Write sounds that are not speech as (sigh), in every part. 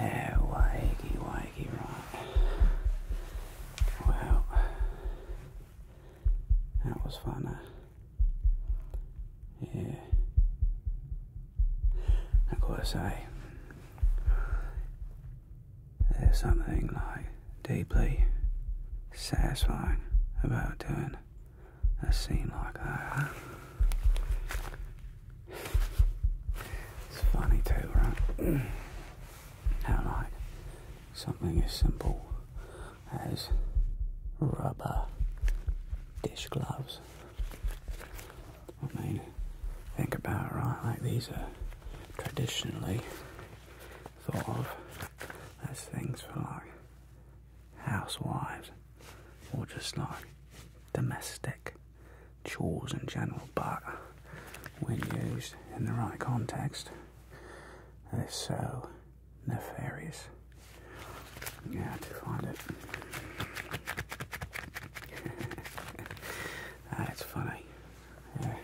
yeah, waggy, waggy, right. that was fun, eh? Yeah. I gotta say, there's something like deeply satisfying about doing that seems like that. Uh, it's funny too, right? (clears throat) How like something as simple as rubber dish gloves. I mean, think about it, right? Like these are traditionally thought of as things for like housewives, or just like domestic chores in general, but when used in the right context, they're so nefarious. You to find it. (laughs) That's funny. Yeah.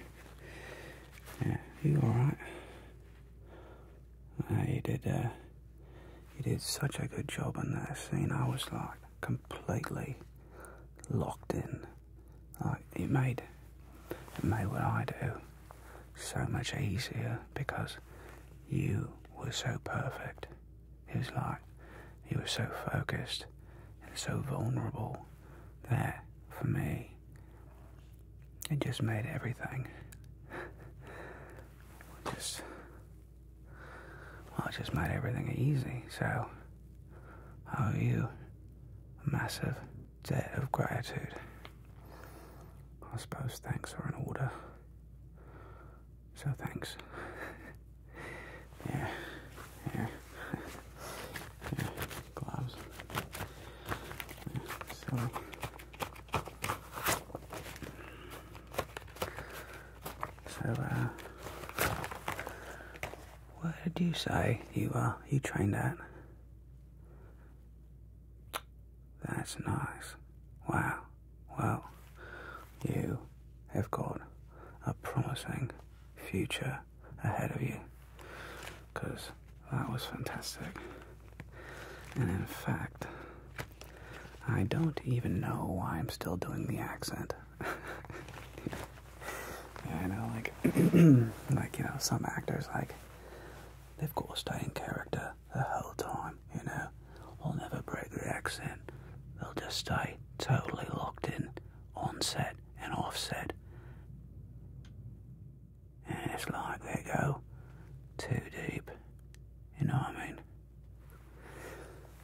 Yeah, you alright? Uh, he did. Uh, did such a good job in that scene. I was like completely locked in. Like it made it made what I do so much easier because you were so perfect. It was like you were so focused and so vulnerable there for me it just made everything. Just. Well, it just made everything easy. So, I owe you a massive debt of gratitude. I suppose thanks are in order. So, thanks. yeah. Yeah. yeah. Gloves. Yeah. So, uh, where did you say you are? You trained at? That's nice. Wow. Well, you have got a promising future ahead of you. Because that was fantastic. And in fact, I don't even know why I'm still doing the accent. (laughs) yeah, know, like, (clears throat) like you know, some actors like they've got to stay in character the whole time. You know, they'll never break the accent. They'll just stay totally locked in on set and off set. And it's like they go too deep. You know what I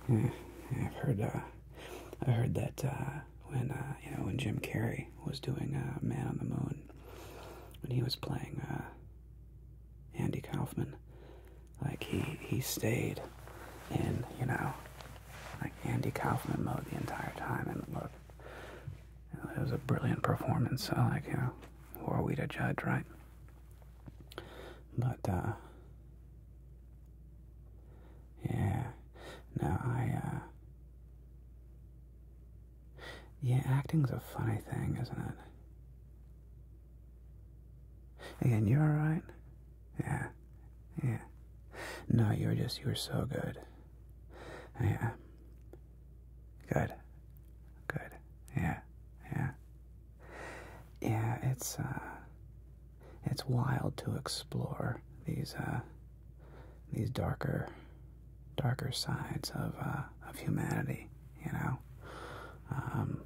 mean? Yeah, mm, I've heard uh, I heard that uh, when uh, you know when Jim Carrey was doing uh, Man on the Moon, when he was playing uh, Andy Kaufman, like he he stayed in you know like Andy Kaufman mode the entire time and up. It was a brilliant performance. So, like, you know, who are we to judge, right? But, uh, yeah. No, I, uh, yeah, acting's a funny thing, isn't it? Again, you're alright? Yeah. Yeah. No, you were just, you were so good. Yeah. Good. Good. Yeah. Yeah. Yeah, it's uh it's wild to explore these uh these darker darker sides of uh of humanity, you know. Um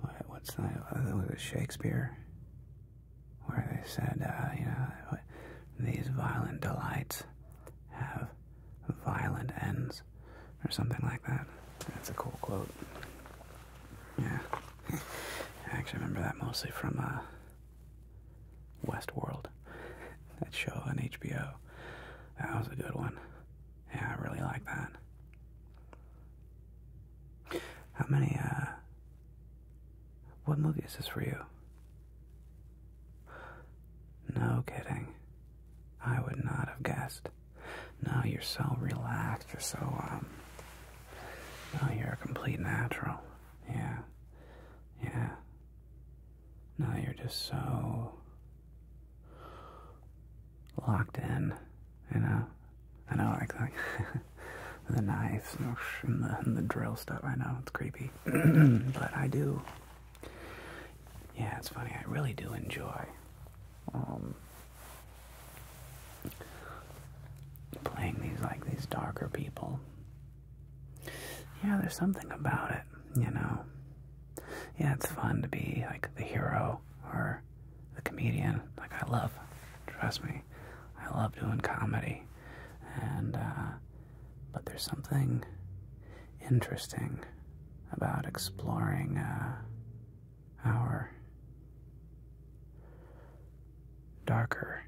what, what's that? I uh, think it was Shakespeare where they said, uh, you know, these violent delights have violent ends, or something like that. That's a cool quote. Yeah. I actually remember that mostly from uh, Westworld, that show on HBO. That was a good one. Yeah, I really like that. How many uh, what movie is this for you? No kidding. I would not have guessed. No, you're so relaxed. You're so, um. No, you're a complete natural. Yeah. Yeah. Now you're just so. locked in. You know? I know, like, that. (laughs) (laughs) the knives and the, drill stuff. I know it's creepy, (clears throat) but I do. Yeah, it's funny. I really do enjoy um, playing these like these darker people. Yeah, there's something about it, you know. Yeah, it's fun to be like the hero or the comedian. Like I love, trust me, I love doing comedy, and uh, but there's something interesting about exploring uh, our darker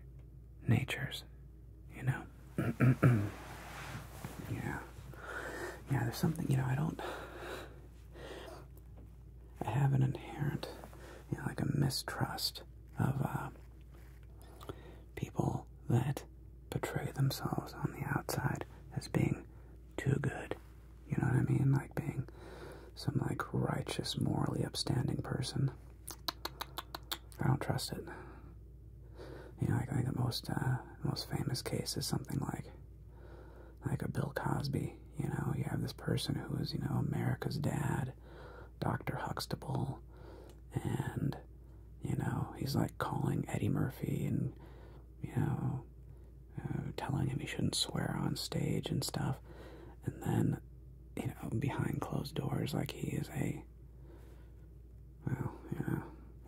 natures, you know. (clears throat) yeah, yeah. There's something you know. I don't. I have an inherent, you know, like a mistrust of uh, People that portray themselves on the outside as being too good, you know what I mean? Like being some like righteous, morally upstanding person. I don't trust it. You know, I think the most uh, most famous case is something like like a Bill Cosby. You know, you have this person who is you know America's dad, Dr. Huxtable, and you know, he's like calling Eddie Murphy and you know, uh, telling him he shouldn't swear on stage and stuff, and then you know, behind closed doors, like he is a well, yeah,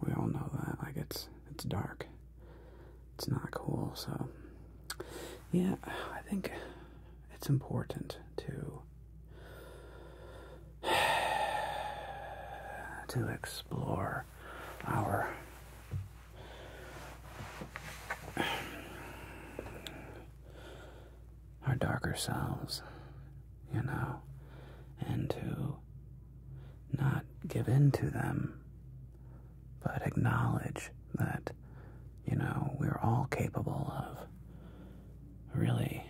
we all know that, like it's it's dark, it's not cool, so yeah, I think it's important to to explore our our darker selves, you know, and to not give in to them, but acknowledge that, you know, we're all capable of really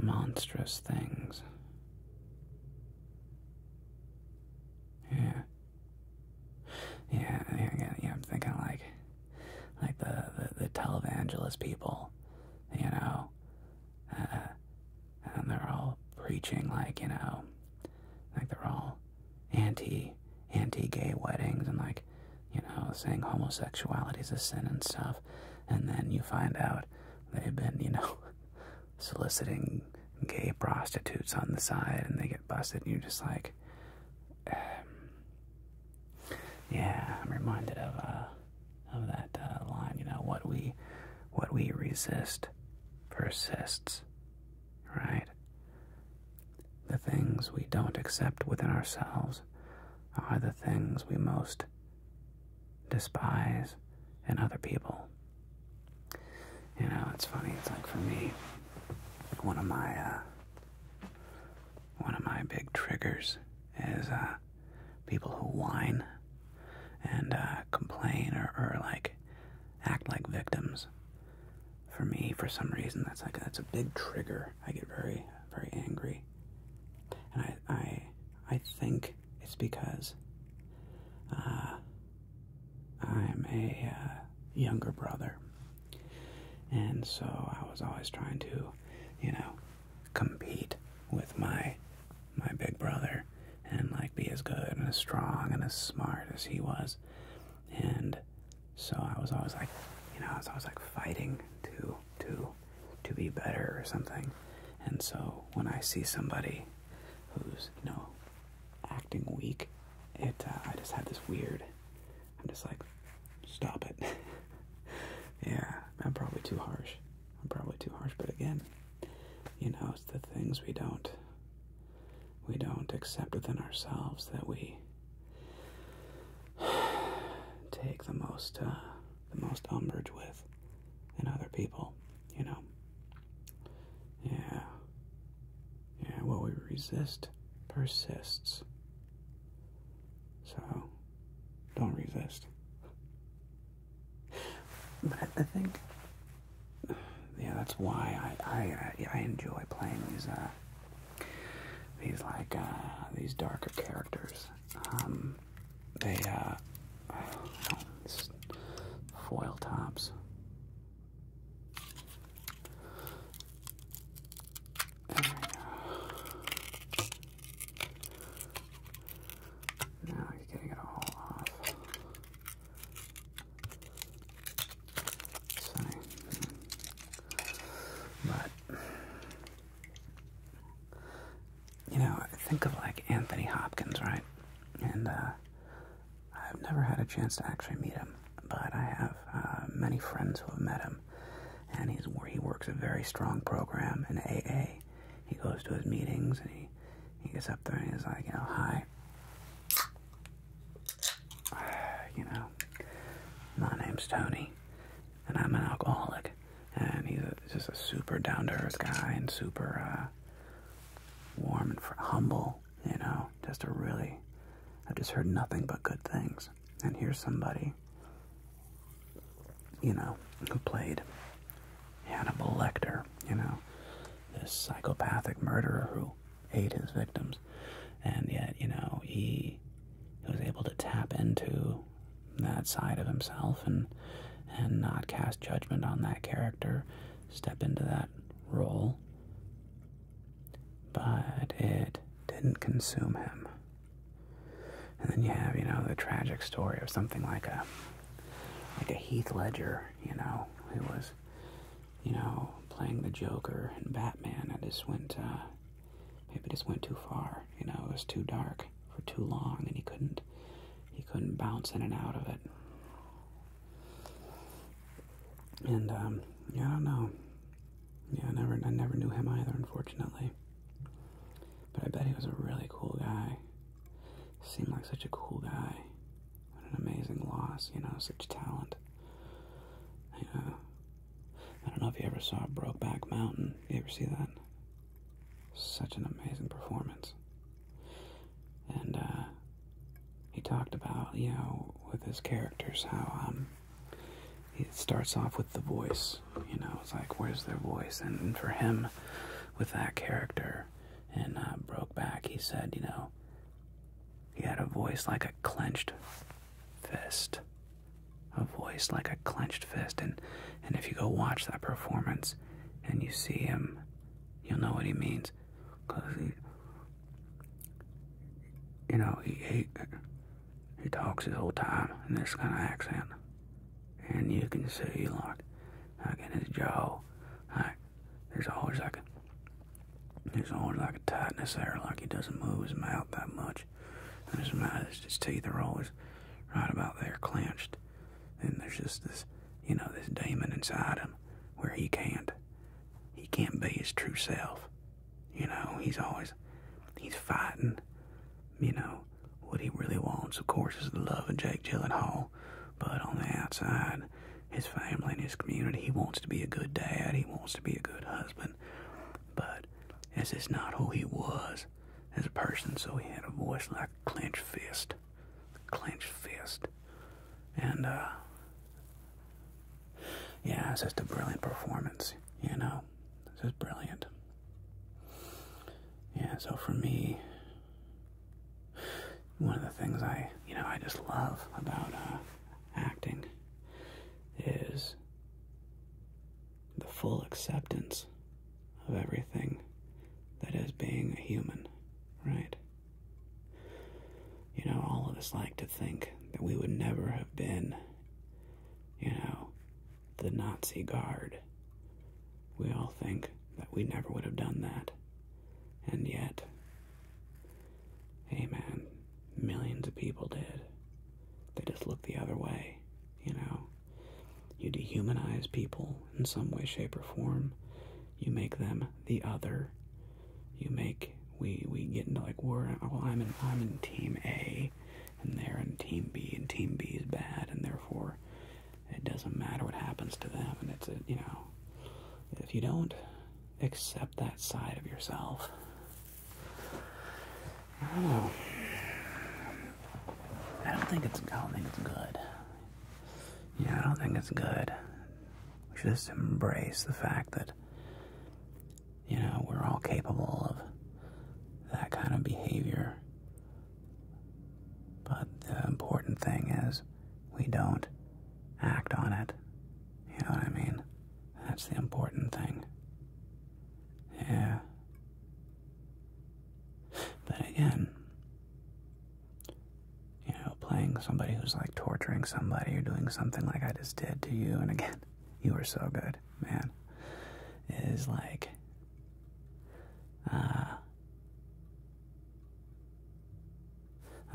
monstrous things. Yeah. Yeah, yeah, I'm thinking like, like the, the, televangelist people, you know, uh, and they're all preaching like, you know, like they're all anti anti-gay weddings and like you know saying homosexuality is a sin and stuff and then you find out they've been you know (laughs) soliciting gay prostitutes on the side and they get busted and you're just like um, yeah i'm reminded of uh of that uh, line you know what we what we resist persists right the things we don't accept within ourselves are the things we most despise in other people. You know, it's funny. It's like for me, one of my uh, one of my big triggers is uh, people who whine and uh, complain or, or like act like victims for me, for some reason, that's like a, that's a big trigger. I get very, very angry, and I, I, I think it's because uh, I'm a uh, younger brother, and so I was always trying to, you know, compete with my, my big brother, and like be as good and as strong and as smart as he was, and so I was always like, you know, I was always like fighting to to to be better or something. And so when I see somebody who's you know acting weak, it uh, I just have this weird. I'm just like, stop it. (laughs) yeah, I'm probably too harsh. I'm probably too harsh. But again, you know, it's the things we don't we don't accept within ourselves that we (sighs) take the most uh, the most umbrage with in other people, you know. Yeah. Yeah, what we resist persists. So don't resist. (sighs) But I, think (sighs) yeah, that's why I I I enjoy playing these uh, these like uh, these darker characters. Um, they uh, (sighs) foil tops. Now you getting it all off. Sunny. But you know, think of like Anthony Hopkins, right? And uh, I've never had a chance to actually meet him, but I have uh, many friends who have met him, and he's he works a very strong program in AA. He goes to his meetings and he he gets up there and he's like, you know, hi. (sighs) you know, my name's Tony, and I'm an alcoholic, and he's just a super down-to-earth guy and super uh, warm and humble, you know, just a really, I've just heard nothing but good things, and here's somebody, you know, who played Hannibal Lecter, you know, this psychopathic murderer who ate his victims. And yet, you know, he, was able to tap into that side of himself and and not cast judgment on that character, step into that role. But it didn't consume him. And then you have, you know, the tragic story of something like a like a Heath Ledger, you know, who was you know, playing the Joker and Batman. I just went, uh, maybe just went too far. You know, it was too dark for too long, and he couldn't, he couldn't bounce in and out of it. And um, yeah, I don't know. Yeah, I never, I never knew him either, unfortunately. But I bet he was a really cool guy. Seemed like such a cool guy. What an amazing loss, you know, such talent. Yeah. I don't know if you ever saw Brokeback Mountain. You ever see that? Such an amazing performance. And uh, he talked about, you know, with his characters, how um, he starts off with the voice. You know, it's like, where's their voice? And for him, with that character in uh, Brokeback, he said, you know, he had a voice like a clenched fist. A voice like a clenched fist. And, and if you go watch that performance and you see him, you'll know what he means. Because he, you know, he, he, he talks his whole time in this kind of accent. And you can see, like, like in his jaw, like, there's always like a there's always like a tightness there, like he doesn't move his mouth that much. And his mouth, his teeth are always right about there clenched. And there's just this, you know, this demon inside him where he can't, he can't be his true self. You know, he's always, he's fighting, you know, what he really wants, of course, is the love of Jake Gyllenhaal. But on the outside, his family and his community. He wants to be a good dad. He wants to be a good husband. But it's just not who he was as a person. So he had a voice like clenched fist. clenched fist. And, uh, yeah, it's just a brilliant performance, you know. It's just brilliant. Yeah, so for me, one of the things I, you know, I just love about uh, acting is the full acceptance of everything that is being a human, right? You know, all of us like to think that we would never have been, you know, the Nazi guard. We all think that we never would have done that. And yet, hey man, millions of people did. They just look the other way, you know. You dehumanize people in some way, shape, or form. You make them the other. You make we we get into like we're well I'm in I'm in team A and they're in team B and team B is bad and therefore it doesn't matter what happens to them and it's a you know if you don't accept that side of yourself. I don't think it's. I good. Yeah, I don't think it's good. We should just embrace the fact that you know we're all capable of that kind of behavior. But the important thing is we don't act on it you know what I mean? That's the important thing. Yeah. But again, you know, playing somebody who's like torturing somebody or doing something like I just did to you, and again, (laughs) you were so good, man, is like, uh,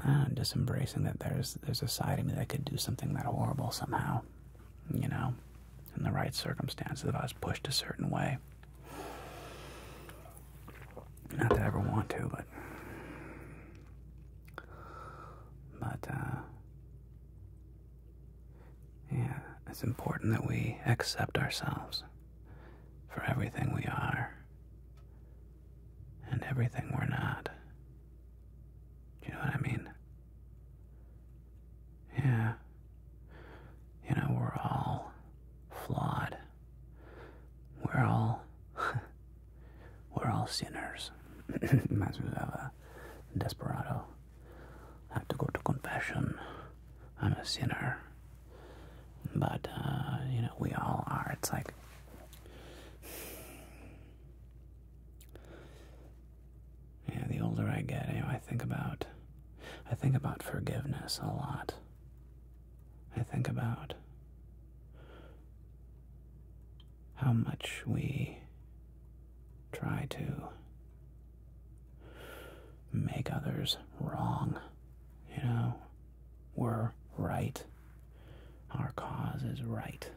Ah, I'm just embracing that there's there's a side of me that could do something that horrible somehow, you know, in the right circumstances if I was pushed a certain way. Not that I ever want to, but but uh, yeah, it's important that we accept ourselves for everything we are and everything we're not. Do you know what I mean? Yeah. You know, we're all flawed. We're all. (laughs) we're all sinners. Reminds me of a desperado. I have to go to confession. I'm a sinner. But, uh, you know, we all are. It's like yeah, the older I get, I think about I think about forgiveness a lot. I think about how much we try to make others wrong, you know, we're right. Our cause is right.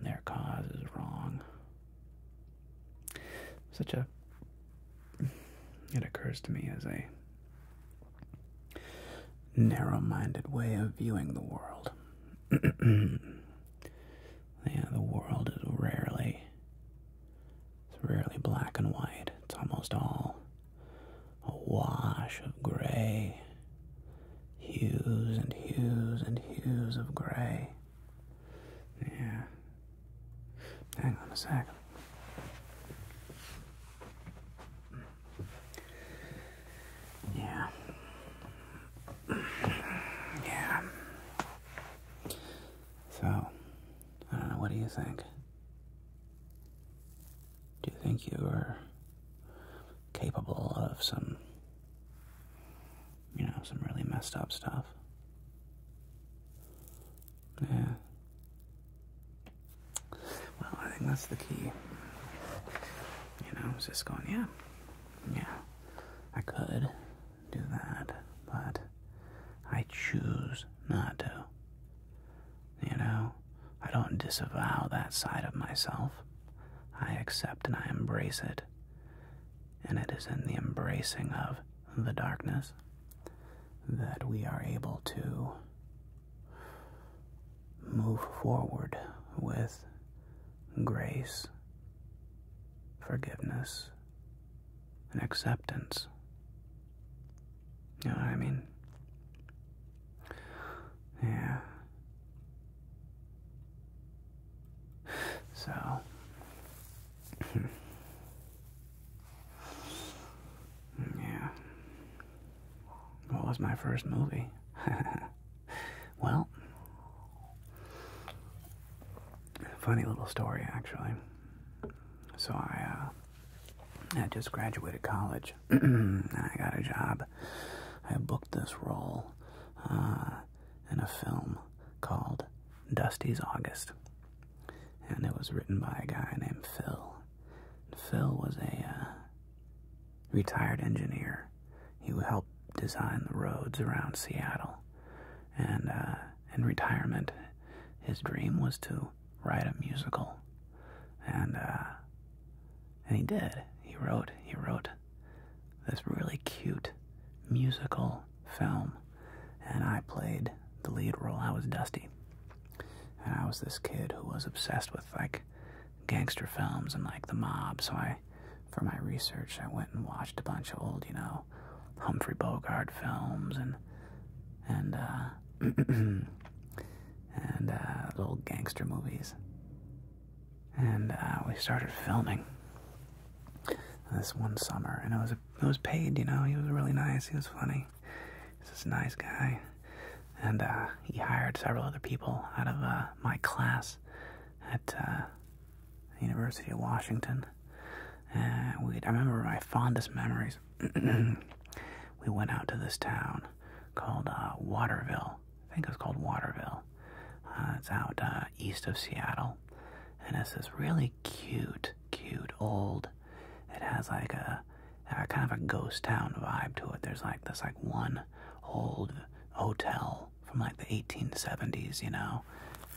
Their cause is wrong. Such a. It occurs to me as a narrow minded way of viewing the world. (clears throat) yeah, the world is rarely. It's rarely black and white. It's almost all a wash of gray, hues and hues and hues of gray. Yeah. Hang on a second. Yeah. Yeah. So, I don't know, what do you think? Do you think you are capable of some, you know, some really messed up stuff? Yeah. Well, I think that's the key. You know, I was just going, yeah, yeah, I could do that, but I choose not to. You know? I don't disavow that side of myself. I accept and I embrace it. And it is in the embracing of the darkness that we are able to move forward with grace, forgiveness, and acceptance you I mean? Yeah. So. (laughs) yeah. What was my first movie? (laughs) well, funny little story, actually. So I, uh, I just graduated college. (clears throat) I got a job. I booked this role uh, in a film called Dusty's August. And it was written by a guy named Phil. Phil was a uh, retired engineer. He helped design the roads around Seattle. And uh, in retirement, his dream was to write a musical, and uh, and he did. He wrote. He wrote this really cute musical film, and I played the lead role. I was Dusty, and I was this kid who was obsessed with like gangster films and like the mob. So I, for my research, I went and watched a bunch of old, you know, Humphrey Bogart films and and uh, (clears throat) and uh, little gangster movies. And uh, we started filming this one summer, and it was it was paid. You know, he was really nice. He was funny. He's this nice guy, and uh, he hired several other people out of my class at the University of Washington. And we I remember my fondest memories. (clears throat) we went out to this town called uh, Waterville. I think it's called Waterville. Uh, it's out uh, east of Seattle, and it's this really cute, cute old. It has like a, a kind of a ghost town vibe to it. There's like this like one old hotel from like the 1870s, you know.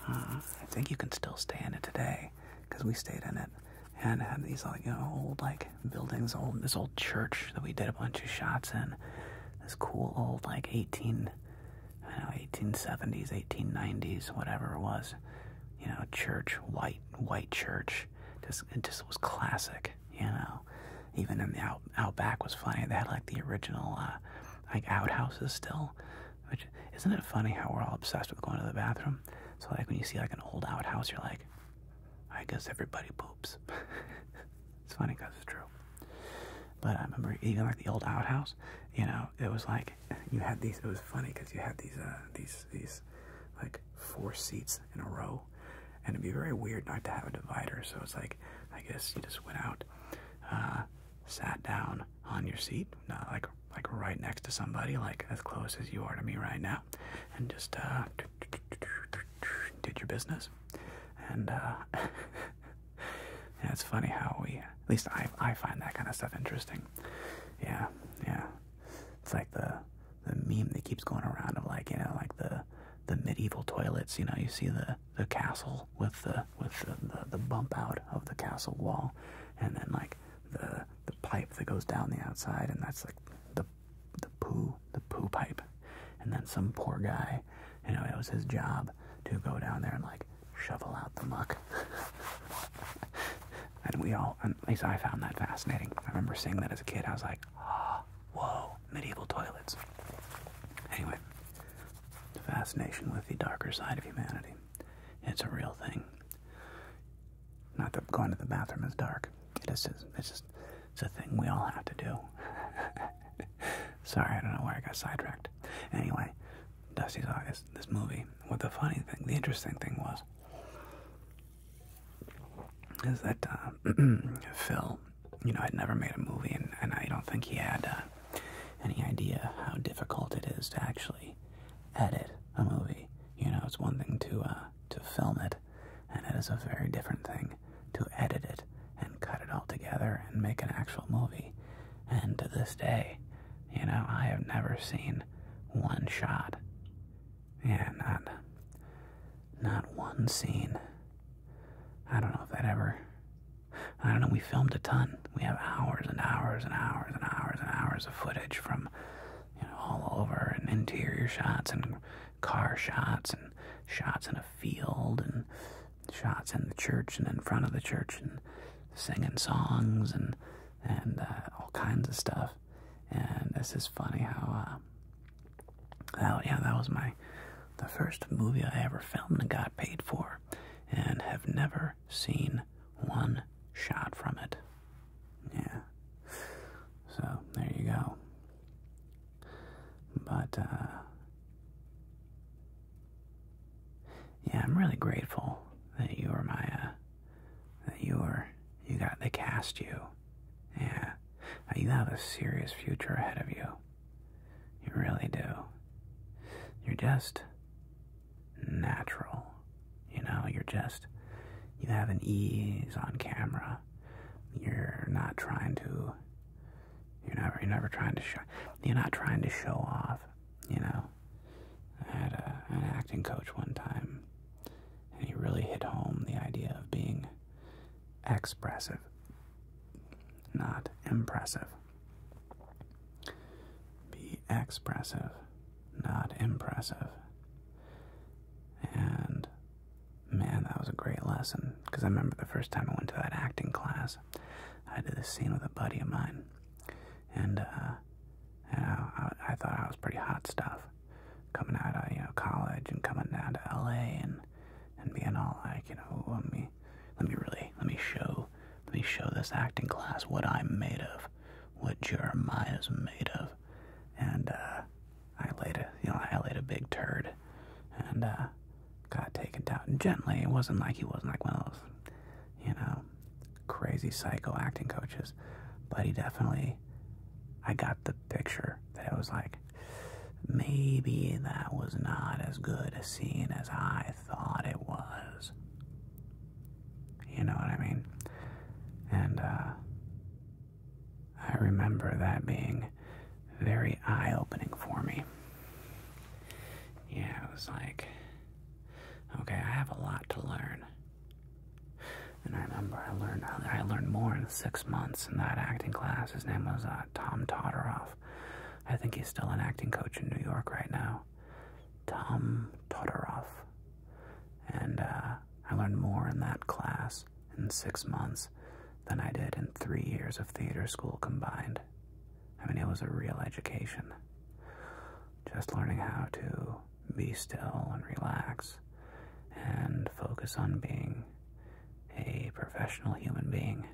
Uh, I think you can still stay in it today because we stayed in it and had these like you know old like buildings, old this old church that we did a bunch of shots in. This cool old like eighteen, I know eighteen seventies, eighteen nineties, whatever it was. You know, church, white white church. Just it just was classic. You know, even in the out out was funny. They had like the original uh, like outhouses still. Which isn't it funny how we're all obsessed with going to the bathroom? So like when you see like an old outhouse, you're like, I guess everybody poops. (laughs) it's funny because it's true. But I remember even like the old outhouse, you know, it was like you had these. It was funny because you had these, uh, these, these, like four seats in a row, and it'd be very weird not to have a divider. So it's like, I guess you just went out, uh, sat down on your seat, not like like right next to somebody, like as close as you are to me right now and just uh, did your business. And uh, (laughs) yeah, it's funny how we, at least I, I find that kind of stuff interesting. Yeah, yeah, it's like the the meme that keeps going around of like you know like the the medieval toilets. You know, you see the the castle with the with the, the bump out of the castle wall, and then like the the pipe that goes down the outside, and that's like the the poo the poo pipe. And then some poor guy, you know, it was his job to go down there and like shovel out the muck. (laughs) and we all, at least I found that fascinating. I remember seeing that as a kid. I was like, ah whoa, medieval toilets. Anyway, fascination with the darker side of humanity. It's a real thing. Not that going to the bathroom is dark. It is. Just, it's a thing we all have to do. (laughs) Sorry, I don't know where I got sidetracked. Anyway, Dusty's eyes. This movie. What the funny thing, the interesting thing was, is that uh, (clears throat) Phil. You know, had never made a movie, and, I don't think he had uh, any idea how difficult it is to actually edit a movie. You know, it's one thing to uh, to film it, and it is a very different thing to edit it and cut it all together and make an actual movie. And to this day, you know, I have never seen one shot. and not one scene. I don't know if that ever I don't know, we filmed a ton. We have hours and hours and hours and hours and hours of footage from you know, all over, and interior shots, and car shots, and shots in a field, and shots in the church, and in front of the church, and singing songs, and and uh, all kinds of stuff. And this is funny how, uh, that, yeah, that was my the first movie I ever filmed and got paid for, and have never seen one shot from it. Yeah. So, there you go. But, uh, yeah, I'm really grateful that you were my, uh, that you were, you got, the cast you. Yeah. Uh, you have a serious future ahead of you. You really do. You're just natural. You know, you're just, you have an ease on camera. You're not trying to, you're never, you're never trying to show, you're not trying to show off, you know. I had an acting coach one time, and he really hit home the idea of being expressive, not impressive. Be expressive, not impressive. And man, that was a great lesson because I remember the first time I went to that acting class, I did a scene with a buddy of mine, and you uh, know, I, I thought I was pretty hot stuff coming out of you know college and coming down to L.A. and and being all like you know let me let me really let me show let me show this acting class what I'm made of what Jeremiah's made of, and uh, I laid a you know I laid a big turd, and uh, got taken down gently. It wasn't like he wasn't like one of those, you know, crazy psycho acting coaches, but he definitely. I got the picture that it was like, maybe that was not as good a scene as I thought it was. You know what I mean? And uh, I remember that being very eye opening for me. Yeah, it was like, okay, I have a lot to learn. And I remember I learned I learned more in six months in that acting class. His name was uh, Tom Todorov. I think he's still an acting coach in New York right now. Tom Todorov. And uh, I learned more in that class in six months than I did in three years of theater school combined. I mean, it was a real education. Just learning how to be still and relax and focus on being a professional human being,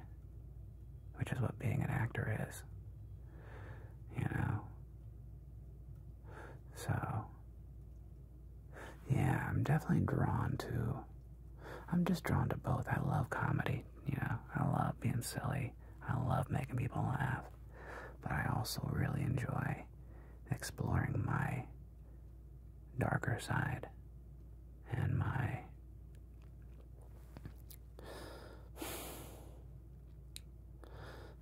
which is what being an actor is. You know, so, yeah, I'm definitely drawn to. I'm just drawn to both. I love comedy, you know, I love being silly, I love making people laugh, but I also really enjoy exploring my darker side and my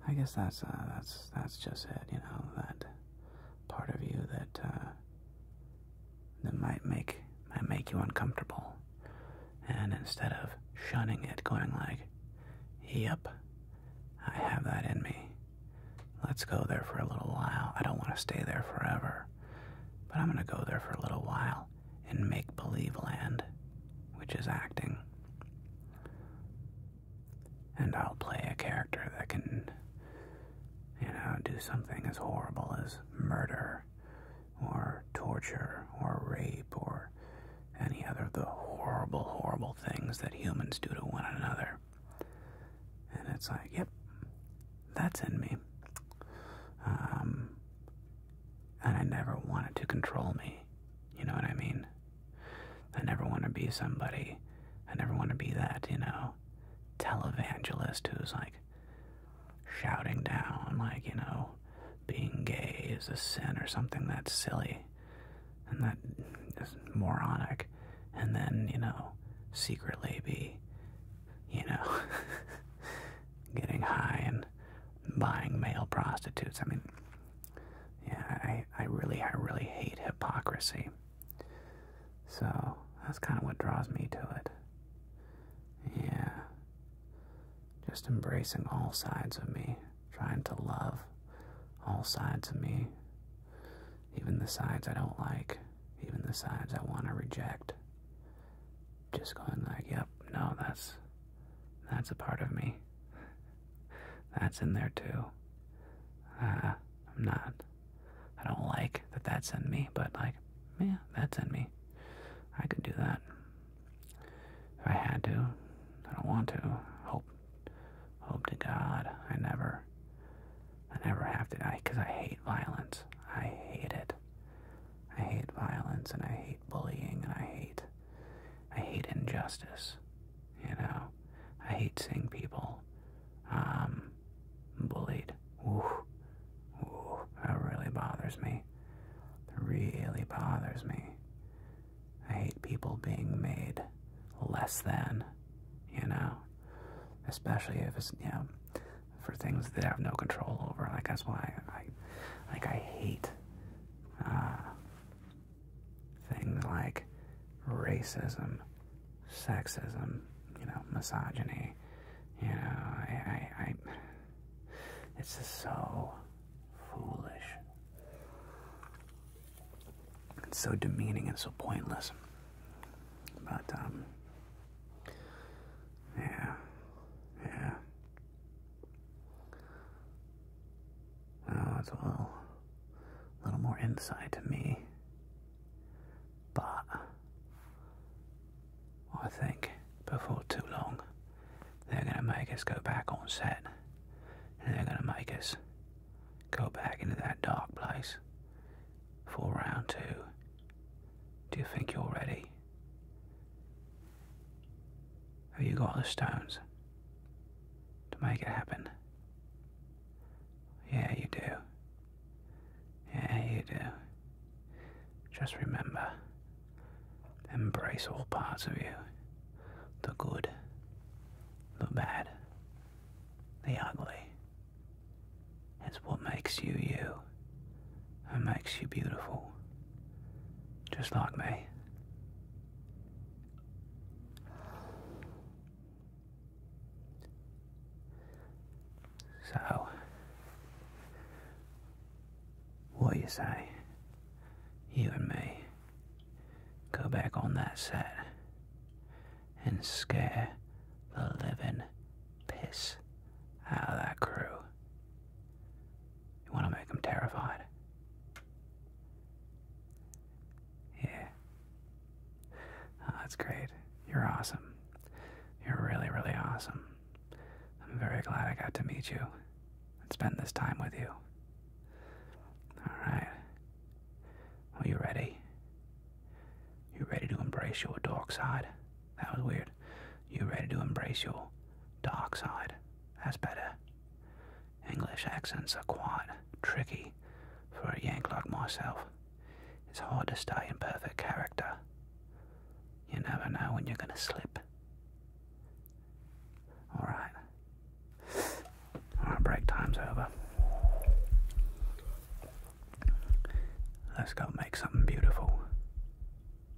I guess that's uh, that's that's just it, you know, that part of you that uh, that might make might make you uncomfortable, and instead of shunning it, going like, "Yep, I have that in me. Let's go there for a little while. I don't want to stay there forever, but I'm gonna go there for a little while and make believe land, which is acting." And I'll play a character that can, you know, do something as horrible as murder or torture or rape or any other of the horrible, horrible things that humans do to one another. And it's like, yep, that's in me. Um, and I never wanted to control me. You know what I mean? I never want to be somebody. I never want to be that, you know, televangelist who's like shouting down, like, you know, being gay is a sin or something that's silly and that is moronic. And then, you know, secretly be, you know, (laughs) getting high and buying male prostitutes. I mean, yeah, I, I really, I really hate hypocrisy. So that's kind of what draws me to it. Yeah. Just embracing all sides of me, trying to love all sides of me, even the sides I don't like, even the sides I want to reject. Just going like, yep, no, that's that's a part of me. That's in there too. Uh, I'm not. I don't like that that's in me, but like, man, that's in me. I could do that if I had to. I don't want to. Hope, hope to God I never, I never have to. I, cause I hate violence. I hate it. I hate violence and I hate bullying and I hate I hate injustice. You know, I hate seeing people um, bullied. Ooh, that really bothers me. That really bothers me. I hate people being made less than. You know, especially if it's you know for things that I have no control over. Like that's why I, I like I hate. Uh, things like racism, sexism, you know, misogyny. You know, I, I, I it's just so foolish. and so demeaning and so pointless. But um, yeah, yeah. Now oh, it's a little, a little more insight to me, but I think before too long they're going to make us go back on set and they're going to make us go back into that dark place for round two. Do you think you're ready? Have you got the stones to make it happen? Yeah, you do. Yeah, you do. Just remember, embrace all parts of you the good, the bad, the ugly. It's what makes you you and makes you beautiful. Just like me. So, what do you say? You and me go back on that set and scare the living piss out of that crew. You want to make them terrified. Yeah. Oh, that's great. You're awesome. You're really, really awesome. I'm very glad I got to meet you and spend this time with you. Alright. Are you ready? You ready to embrace your dark side? That was weird. You ready to embrace your dark side? That's better. English accents are quite tricky for a yank like myself. It's hard to stay in perfect character. You never know when you're going to slip. Alright. Alright, break time's over. Let's go make something beautiful.